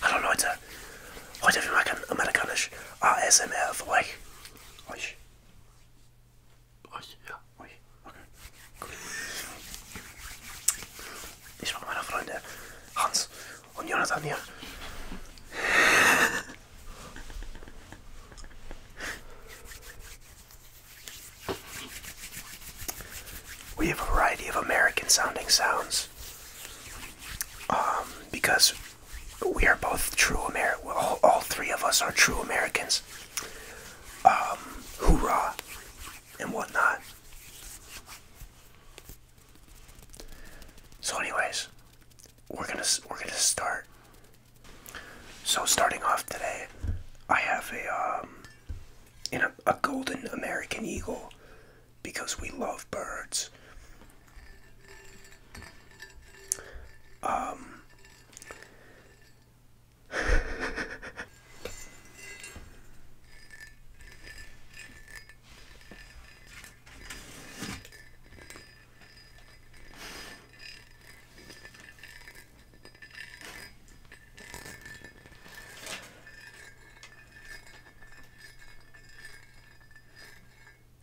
Hallo Leute, heute will mal amerikanisch ASMR für euch. Ich mache meine Freunde Hans und Jonathan hier. We have a variety of American sounding sounds um, because we are both true Ameri all, all three of us are true Americans. Um, hoorah and whatnot. So, anyways, we're gonna we're gonna start. So, starting off today, I have a um, in a, a golden American eagle because we love birds. Um,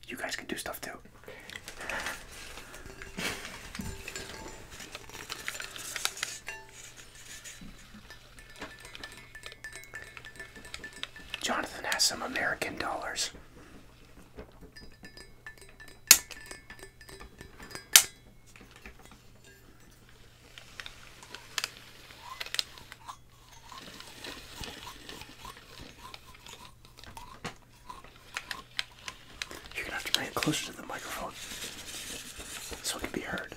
you guys can do stuff too. Jonathan has some American dollars. You're gonna have to bring it closer to the microphone so it can be heard.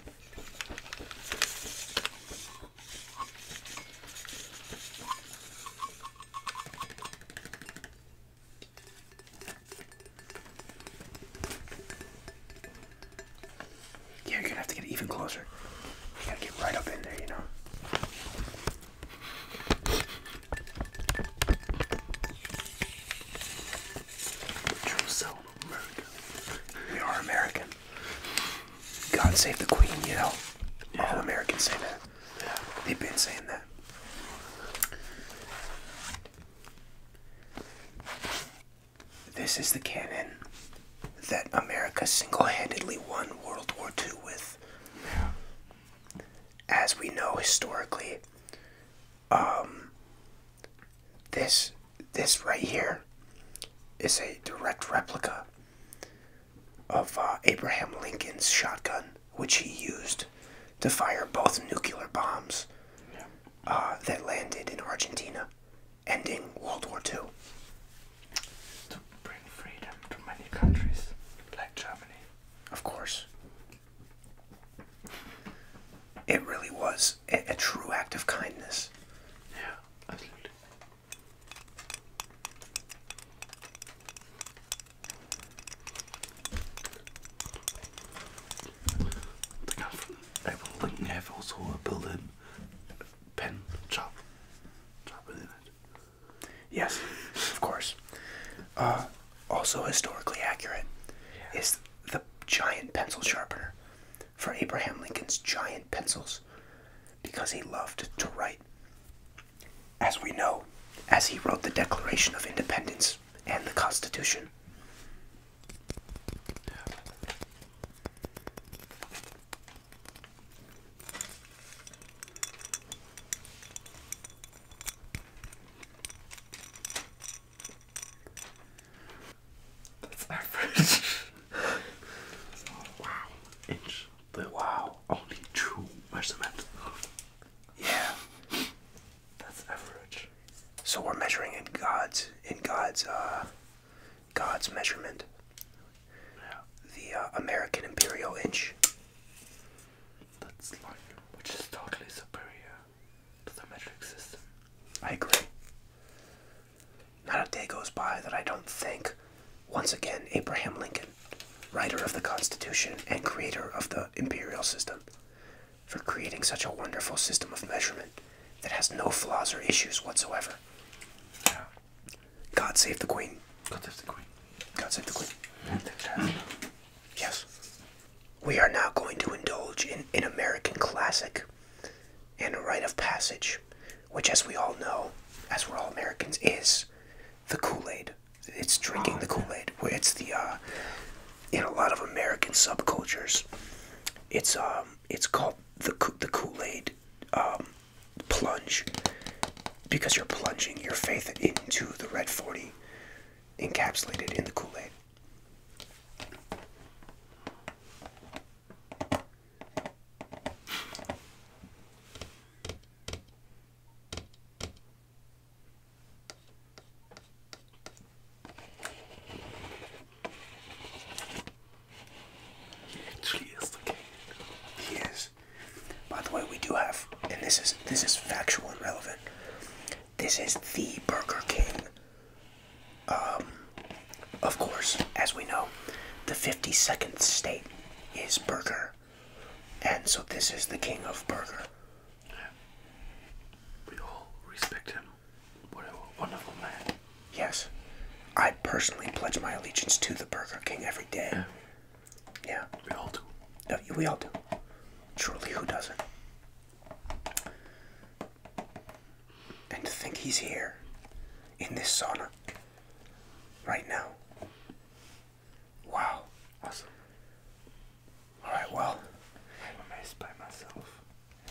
Yeah, you're gonna have to get even closer. You gotta get right up in there, you know. True soul America. We are American. God save the Queen, you know. All Americans say that. They've been saying that. This is the cannon that America single handedly won World War II with. As we know historically, um, this this right here is a direct replica of uh, Abraham Lincoln's shotgun, which he used to fire both nuclear bombs uh, that landed in Argentina ending World War II. To bring freedom to many countries, like Germany. Of course. It really was a, a true act of kindness. Yeah, absolutely. The guy from April Lincoln have also a building pen shop. Yes, of course. Uh, also historically accurate is the giant pencil sharpener for Abraham Lincoln's giant pencils because he loved to write. As we know, as he wrote the Declaration of Independence and the Constitution. That's average. wow. Inch. wow. Only true measurement. Yeah. That's average. So we're measuring in God's in God's uh, God's measurement. The uh, American imperial inch. which is totally superior to the metric system. I agree. Not a day goes by that I don't think, once again, Abraham Lincoln, writer of the Constitution and creator of the imperial system, for creating such a wonderful system of measurement that has no flaws or issues whatsoever. Yeah. God save the Queen. God save the Queen. God save the Queen. Yes. We are now going to indulge in an American classic and a rite of passage, which, as we all know, as we're all Americans, is the Kool Aid. It's drinking the oh, Kool Aid. Where it's the uh, in a lot of American subcultures, it's um it's called the the Kool Aid um, plunge because you're plunging your faith into the red forty, encapsulated in the Kool Aid. He actually is the king. He is. By the way, we do have, and this is this is factual and relevant. This is the Burger King. Um, of course, as we know, the 52nd state is burger, and so this is the king of burger. We all respect him. What a wonderful man. Yes. I personally pledge my allegiance to the Burger King every day. Yeah. We all do. we all do. Truly, who doesn't? And to think he's here in this sauna right now. Wow. Awesome. Alright, well. I'm amazed by myself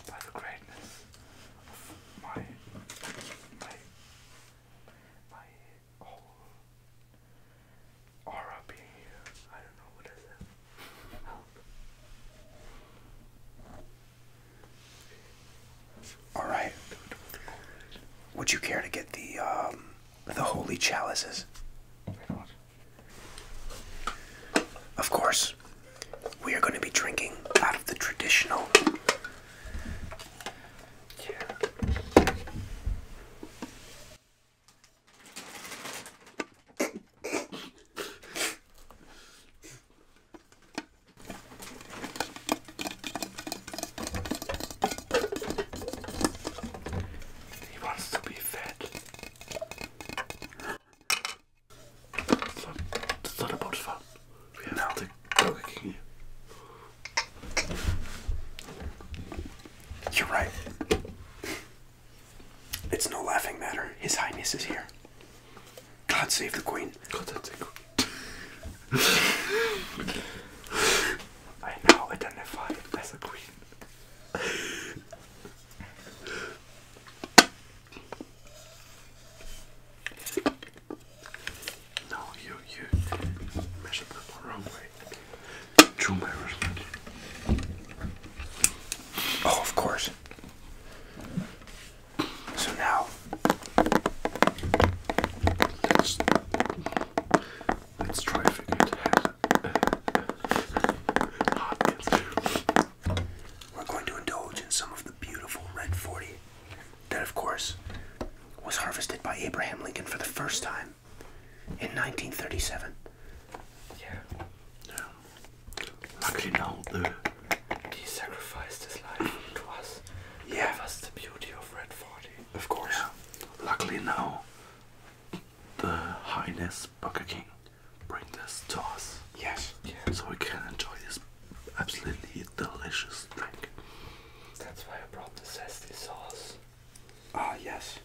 by the greatness of my my my whole aura being here. I don't know what is it. All right. Would you care to get the um, the holy chalices? Of course, we are going to be drinking out of the traditional. He wants to be fed. It's not, it's not about fun. have no. the You're right. It's no laughing matter. His Highness is here. God save the God save the Queen. I now identify as a queen. No, you you measured that the wrong way. True measurement. Oh, of course. So now let's let's try to we're going to indulge in some of the beautiful Red 40 that, of course, was harvested by Abraham Lincoln for the first time in 1937. Yeah. yeah. Luckily now, the, he sacrificed his life to us. Yeah. That's the beauty of Red 40. Of course. Yeah. Luckily now, the Highness poker King bring this to us. Yes. So we can enjoy this absolutely delicious drink. That's why I brought the zesty sauce. Ah, yes.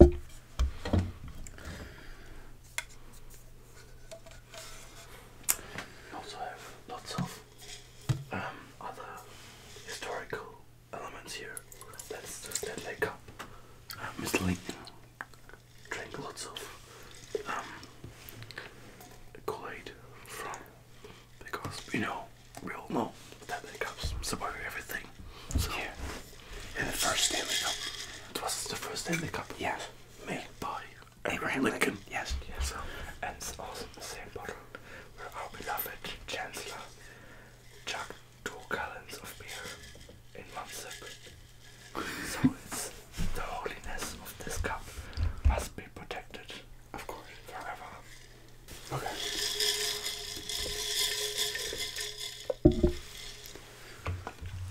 We also have lots of um, other historical elements here. That's the Stanley Cup. Uh, Mr. Lincoln drink lots of um, from because you know we all know that Stanley Cups survive everything. So. Yeah in the first Stanley Cup. was the first Stanley Cup. Yes. Made by Abraham Lincoln. Yes. Yes. and it's also in the same bottle where our beloved Chancellor chucked two gallons of beer in one sip. so it's the holiness of this cup must be protected. Of course. Forever. Okay.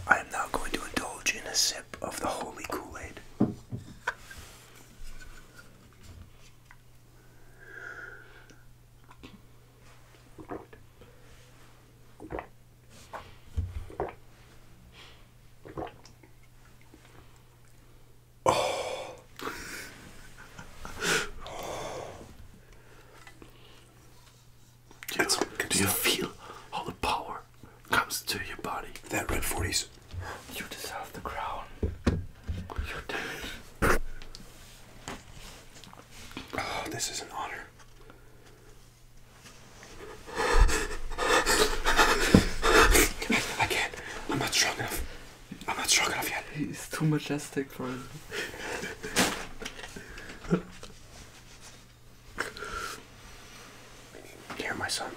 I am now going to indulge in a sip of the holy Kool Aid. Oh. Do you, feel how the power comes to your body? That red 40s. You deserve the crown. You did it. Oh, this is an honor. I, can't. I'm not strong enough. I'm not strong enough yet. He's too majestic for it. Here, my son.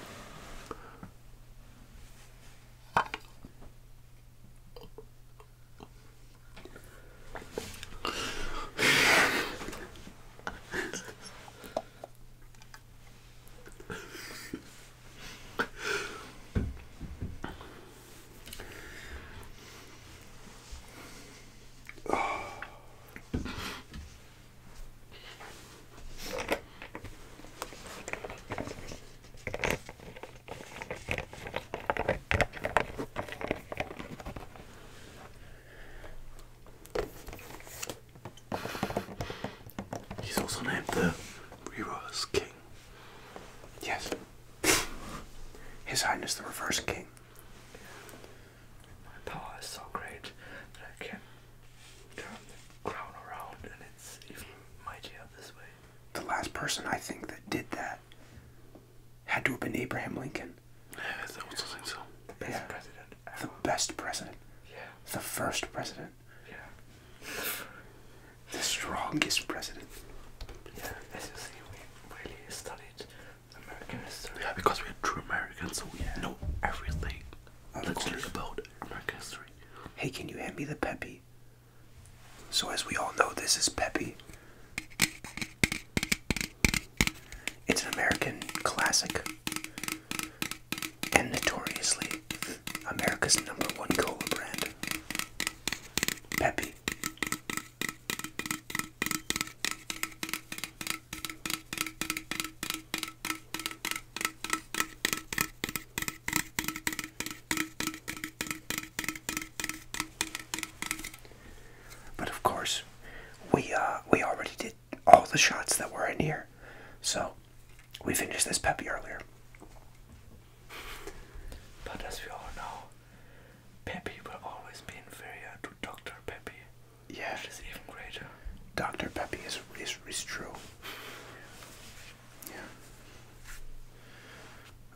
He's also named the Reverse King. Yes. His Highness the Reverse King. My power is so great that I can turn the crown around and it's even mightier this way. The last person I think that did that had to have been Abraham Lincoln. Yeah, I also think so. The best president. The best president. The first president. the strongest president. as you see, we really study yeah, because we're true Americans, so we know everything. Literally about American history. Hey, can you hand me the Peppy? So, as we all know, this is Peppy. It's an American classic and notoriously America's number one cola brand. Peppy. But of course, we uh, we already did all the shots that were in here, so we finished this peppy earlier. But as we all know, Peppy will always be inferior to Dr. Peppy. Yeah. Which is even greater. Dr. Peppy is, is, is true. Yeah.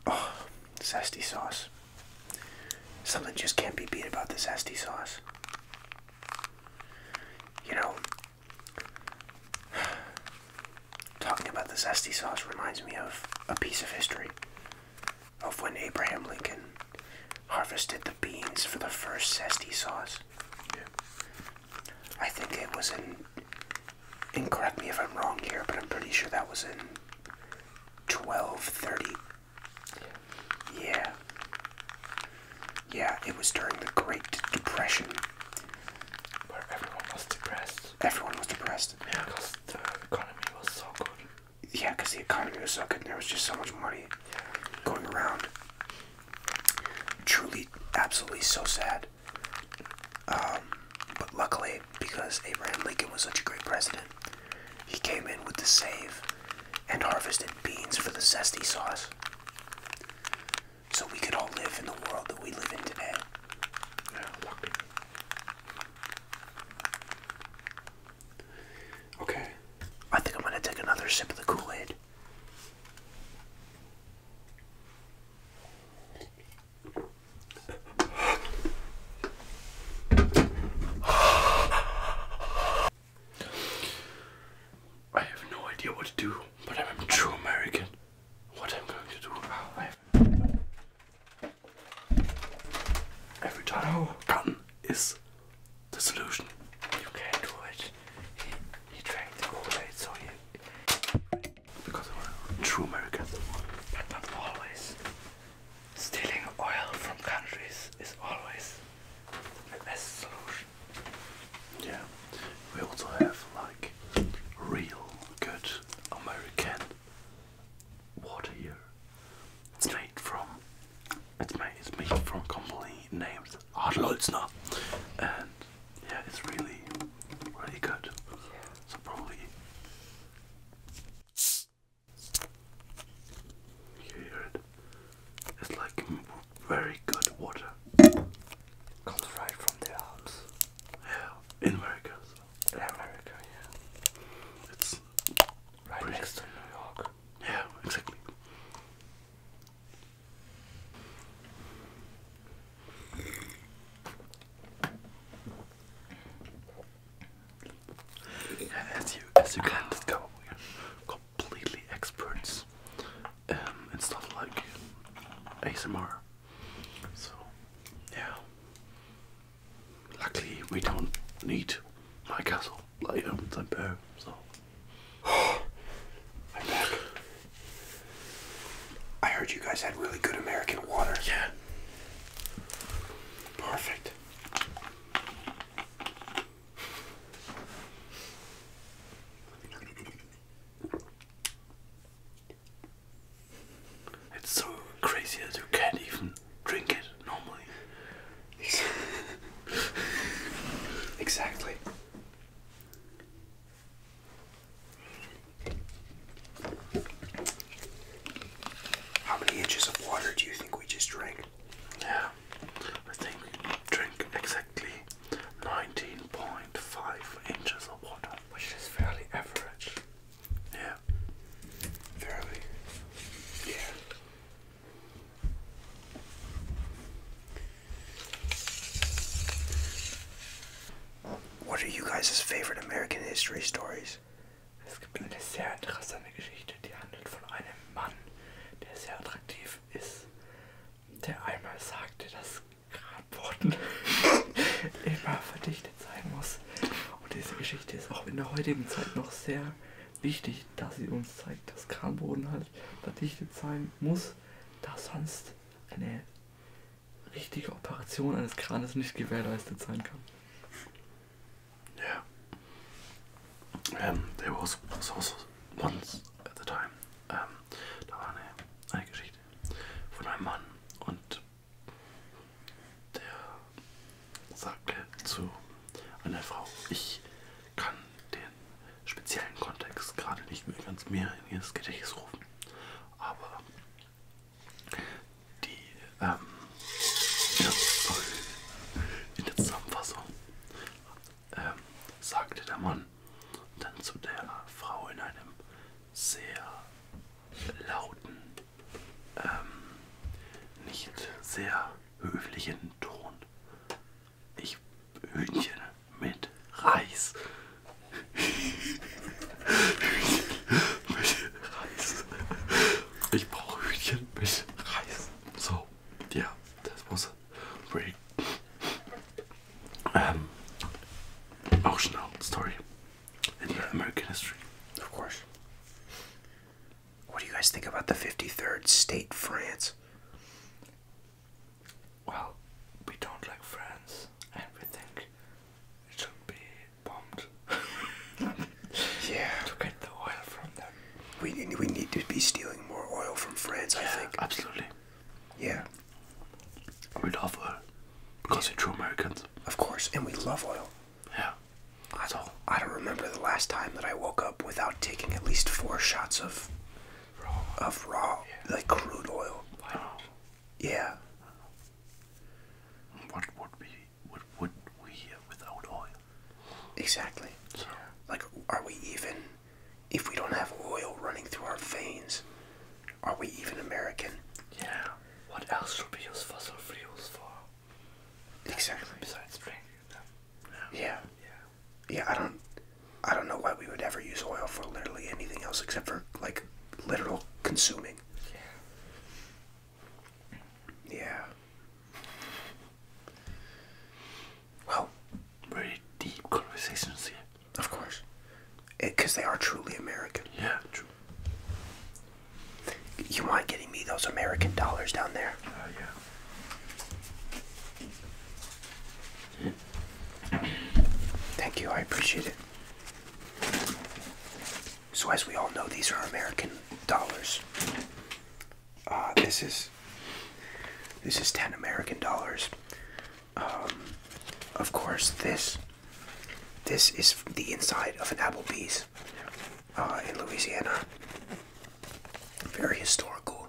Oh, zesty sauce. Something just can't be beat about the zesty sauce. You know, talking about the zesty sauce reminds me of a piece of history of when Abraham Lincoln harvested the beans for the first zesty sauce. I think it was in, and correct me if I'm wrong here, but I'm pretty sure that was in 1230. Yeah. Yeah, it was during the Great Depression. Where everyone was depressed. Everyone was depressed. Yeah, because the economy was so good. Yeah, because the economy was so good and there was just so much money going around. Truly, absolutely so sad. Um, but luckily, because Abraham Lincoln was such a great president, he came in with the save and harvested beans for the zesty sauce. So we could all live in the world that we live in today. Okay. I think I'm going to take another sip of the Kool Aid. I have no idea what to do, but I'm a true American. What I'm going to do, Every time. No. Cotton is the solution. You can't do it. He, he drank the Kool-Aid, so he... Because of a true American. But not always. Stealing oil from countries is always the best solution. Yeah. We also have like real good American water here. It's made from it's made it's made from company named Adlolzner and yeah it's really really good. So probably you hear it. It's like very good water. Comes right from the Alps. Yeah, in America. So. America, yeah. It's right next to New York. Yeah, exactly. Yeah, as you as you can discover, we're completely experts um, in stuff like ASMR. So, yeah. Luckily, we don't need my castle. I own Tempo, so. I'm back. I heard you guys had really good American water. Yeah. Perfect. It's so crazy that you can't even drink it normally. exactly. How many inches of water do you think we just drank? Yeah, I think we drank exactly 19.5 inches of water, which is fairly average. Yeah. Fairly. Yeah. What are you guys' favorite American history stories? Es gibt eine sehr interessante Geschichte, die handelt von einem Mann, der sehr attraktiv ist, der einmal sagte, dass Grabboden immer für dich Geschichte sein muss. Und diese Geschichte ist auch in der heutigen Zeit noch sehr wichtig, dass sie uns zeigt, dass Kranboden halt verdichtet sein muss, da sonst eine richtige Operation eines Kranes nicht gewährleistet sein kann. Yeah. Um, there was, was also once at the time, um, ähm, da war eine, eine Geschichte von einem Mann und der sagte zu einer Frau, ich kann den speziellen Kontext gerade nicht mehr ganz mehr in ihr Gedächtnis rufen, aber die ähm, ja, in der Zusammenfassung ähm, sagte der Mann dann zu der Frau in einem sehr lauten ähm, nicht sehr höflichen Ton. Ich Hühnchen mit Reis. Hühnchen mit Reis. Ich brauche Hühnchen mit Reis. So, ja, yeah, das muss. Break. Ähm, auch Schnau, sorry. American history. Of course. What do you guys think about the 53rd state, France? Well, we don't like France, and we think it should be bombed. yeah. To get the oil from them. We need, we need to be stealing more oil from France, yeah, I think. Absolutely. Yeah. We love oil. Because they're true Americans. Of course, and we love oil. Yeah. I don't, I don't remember the last time that I woke up without taking at least four shots of raw, of raw like crude oil. Yeah. What would we what would we without oil? Exactly. So. Like, are we even if we don't have oil running through our veins? Are we even American? Yeah. What else should we use fossil fuels for? Exactly. Besides drinking them. Yeah. yeah. Yeah. I don't. I don't know why we would ever use oil for literally anything else except for like literal consuming. Yeah. Yeah. Well, very deep conversations Of course, because eh, they are truly American. Yeah, true. You mind getting me those American dollars down there? Oh, yeah. Thank you, I appreciate it. So, as we all know, these are American dollars. Uh, this is this is ten American dollars. Um, of course, this this is the inside of an Applebee's uh, in Louisiana. Very historical.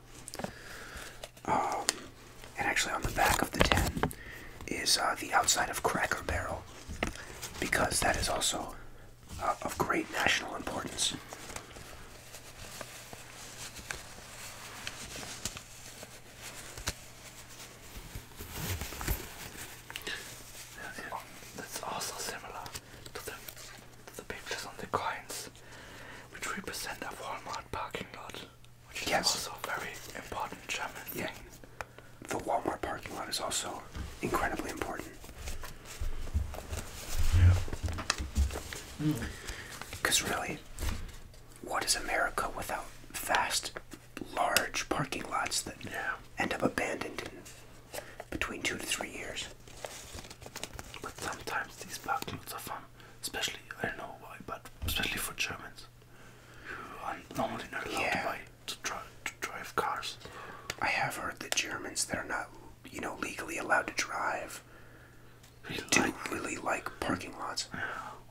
Um, and actually, on the back of the tin is uh, the outside of Cracker Barrel, because that is also uh, of great national importance that's also similar to the, pictures on the coins, which represent a Walmart parking lot, which is also very important yeah. The Walmart parking lot is also incredibly important. Because yeah. mm. really, what is America without fast large parking lots that yeah. end up abandoned in between two to three years. But sometimes these parking lots are fun, especially I don't know why, but especially for Germans who are normally not allowed to, buy, to, drive, cars. I have heard that Germans that are not, you know, legally allowed to drive do like, really like parking lots.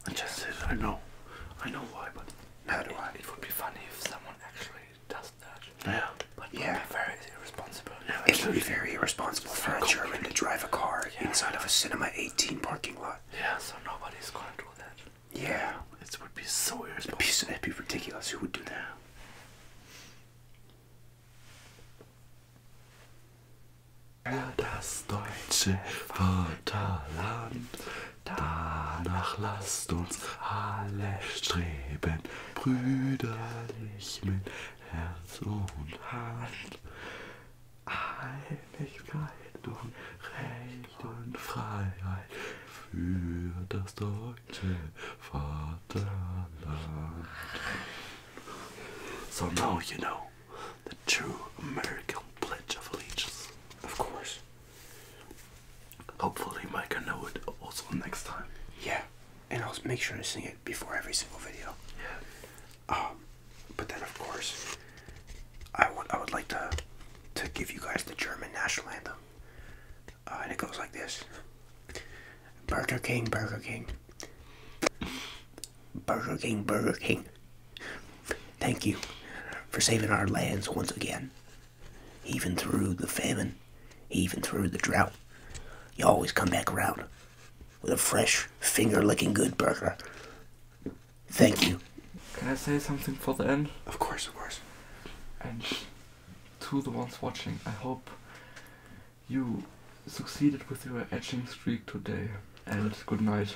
I just said I know. I know why, but now do it, I. It would be funny if someone actually does that. Yeah. But yeah. very irresponsible. it would be very irresponsible for a German to drive a car inside of a Cinema 18 parking lot. Yeah, so nobody's gonna do that. Yeah. It would be so irresponsible. it be, it'd be ridiculous. Who would do that? Das deutsche Vaterland. Danach lasst uns alle streben, brüderlich mit Herz und Hand. Einigkeit und Recht und Freiheit für das deutsche Vaterland. So now you know the true American Pledge of Allegiance. Of course. Hopefully, Mike can know it also next time. Yeah, and I'll make sure to sing it before every single video. Yeah. Um, but then of course, I would I would like to to give you guys the German national anthem, uh, and it goes like this: Burger King, Burger King, Burger King, Burger King. Thank you for saving our lands once again. Even through the famine, even through the drought, you always come back around with a fresh, finger licking good burger. Thank you. Can I say something for the end? Of course, of course. And to the ones watching, I hope you succeeded with your etching streak today. And good night.